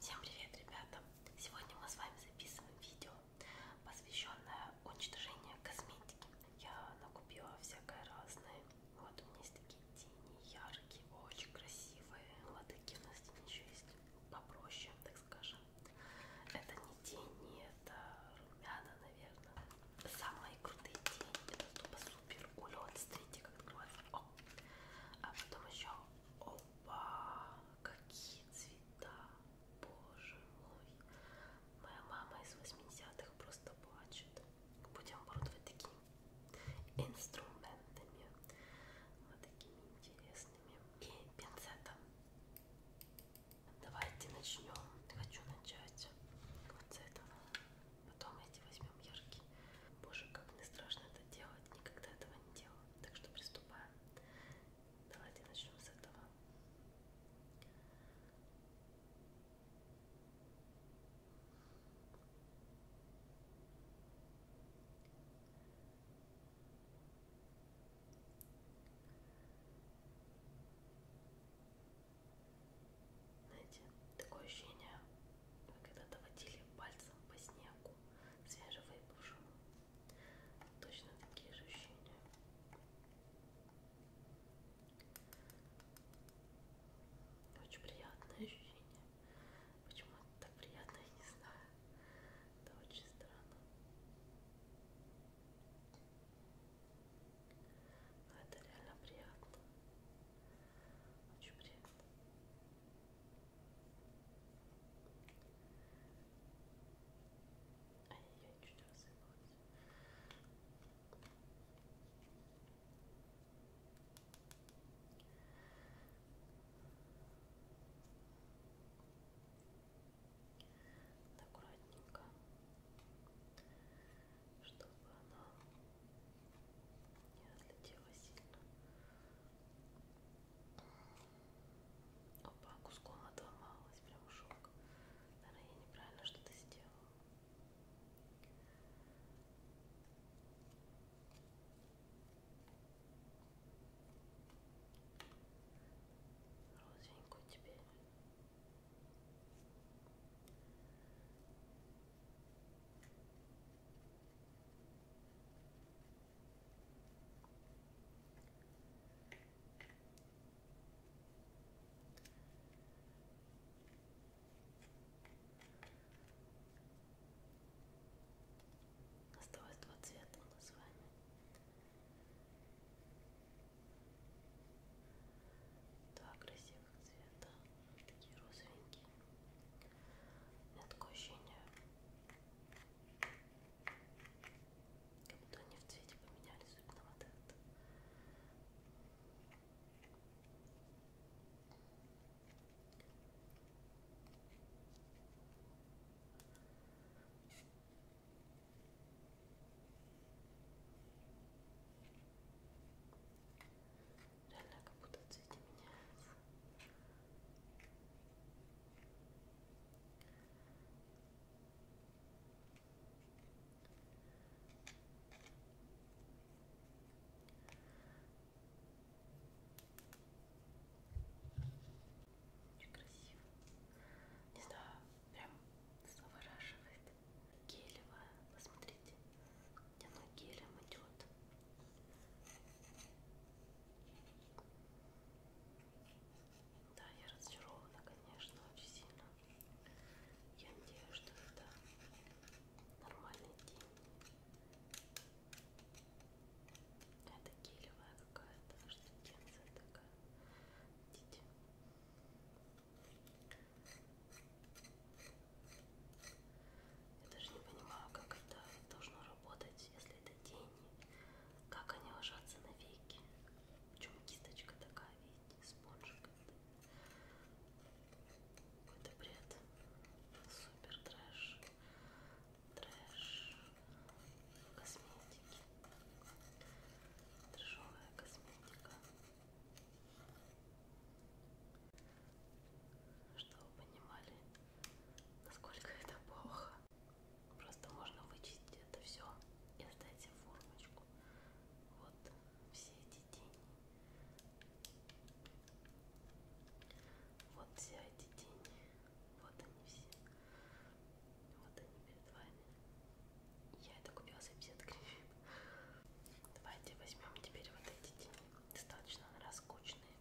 Всем привет, ребята! Сегодня мы с вами записываем видео, посвященное уничтожению косметики. Я накупила всякое разное. Вот у меня есть такие тени яркие, очень красивые. Латыки у нас здесь еще есть попроще, так скажем. Это не тени, это румяна, наверное. Самые крутые тени. Это тупо супер улет. Смотрите, как открывается. О! А потом еще о, Опа! Какие цвета! Боже мой! Моя мама из 80-х просто плачет. Будем оборудовать такими инструментами. Вот такими интересными. И пинцетом. Давайте начнем. Хочу начать вот с этого. Потом эти возьмем яркие. Боже, как мне страшно это делать. Никогда этого не делала. Так что приступаем. Давайте начнем с этого. Знаете, такое ощущение, когда-то водили пальцем по снегу свежевыпавшему. Точно такие же ощущения. Очень приятное ощущение. Почему это так приятно, я не знаю. Это очень странно. Но это реально приятно. Очень приятно. Ай, я чуть рассыпалась. Аккуратненько чтобы она не отлетела сильно. Опа, куском отломалась, прям шок. Наверное, я неправильно что-то сделала. Розовенькую теперь Осталось два цвета у нас с вами. Два красивых цвета, такие розовенькие. У меня такое ощущение, как будто они в цвете поменялись, особенно вот этот. Реально как будто цветы меняются. Очень красиво. Не знаю, прям завораживает. Гелевая, посмотрите, она гелем идет. Да, я разочарована, конечно, очень сильно. Я надеюсь, что это нормальный день. Это гелевая какая-то, аж тенденция такая. Видите? Я даже не понимаю, как это должно работать, если это тени. Как они ложатся на веки. Причем кисточка такая, видите, спонжик. Какой-то бред. Супер трэш трэш косметики трэшовая косметика чтобы вы понимали насколько это плохо просто можно вычистить это все и оставить себе формочку вот все эти тени вот все эти тени вот они все. Вот они перед вами. Я это купила за 50 гривен. Давайте возьмем теперь вот эти тени. Достаточно раскучные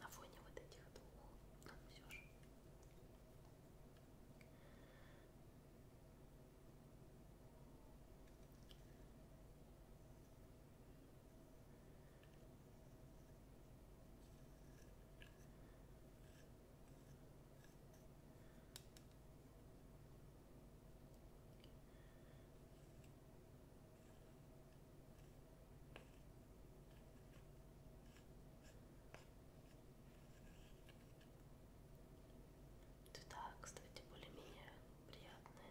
на фоне вот этих двух. Но а, все же. Вот Цвета, кстати, более-менее приятные,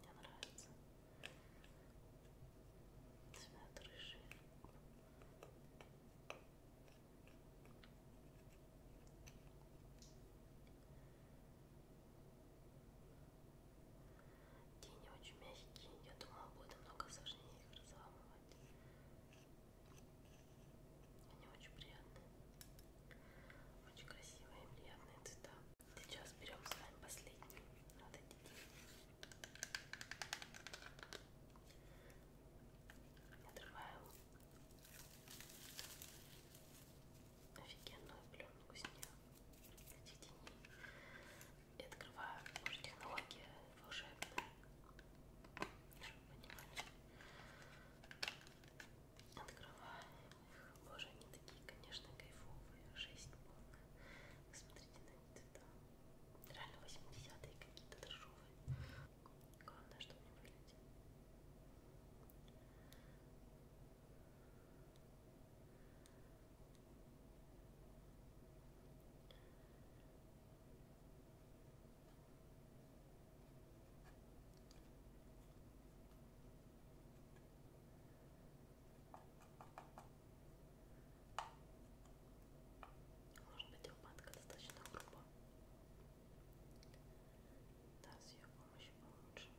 мне нравится цвет рыжий. Тени очень мягкие, я думала, будет много сложнее их разламывать. Они очень приятные, очень красивые и приятные цвета. Сейчас берем с вами последний. Вот эти. Отрываем офигенную пленку с нее. Эти тени. И открываю уже технология волшебная. Чтобы понимать. Открываем Боже, они такие, конечно, кайфовые. Жесть полная. Смотрите на эти цвета. Реально 80-е какие-то дешевые. Главное, чтобы не вылетели. Может быть, упадка достаточно грубо. Да, с ее помощью получше. Намного. Черт.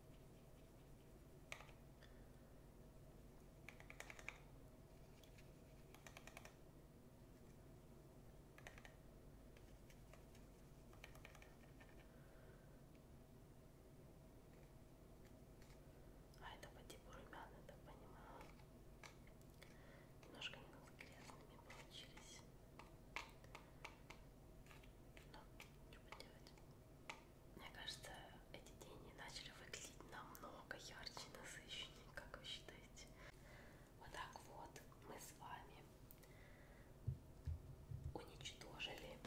А это по типу румяна, так понимаю. Немножко грязными получились. Но ну, что поделать. Мне кажется, эти тени начали выглядеть намного ярче, насыщеннее, как вы считаете? Вот так вот мы с вами уничтожили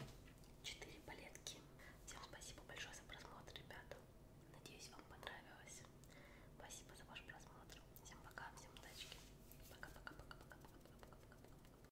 4 палетки. Всем спасибо большое за просмотр, ребята. Надеюсь, вам понравилось. Спасибо за ваш просмотр. Всем пока, всем удачи. Пока-пока-пока-пока-пока-пока-пока.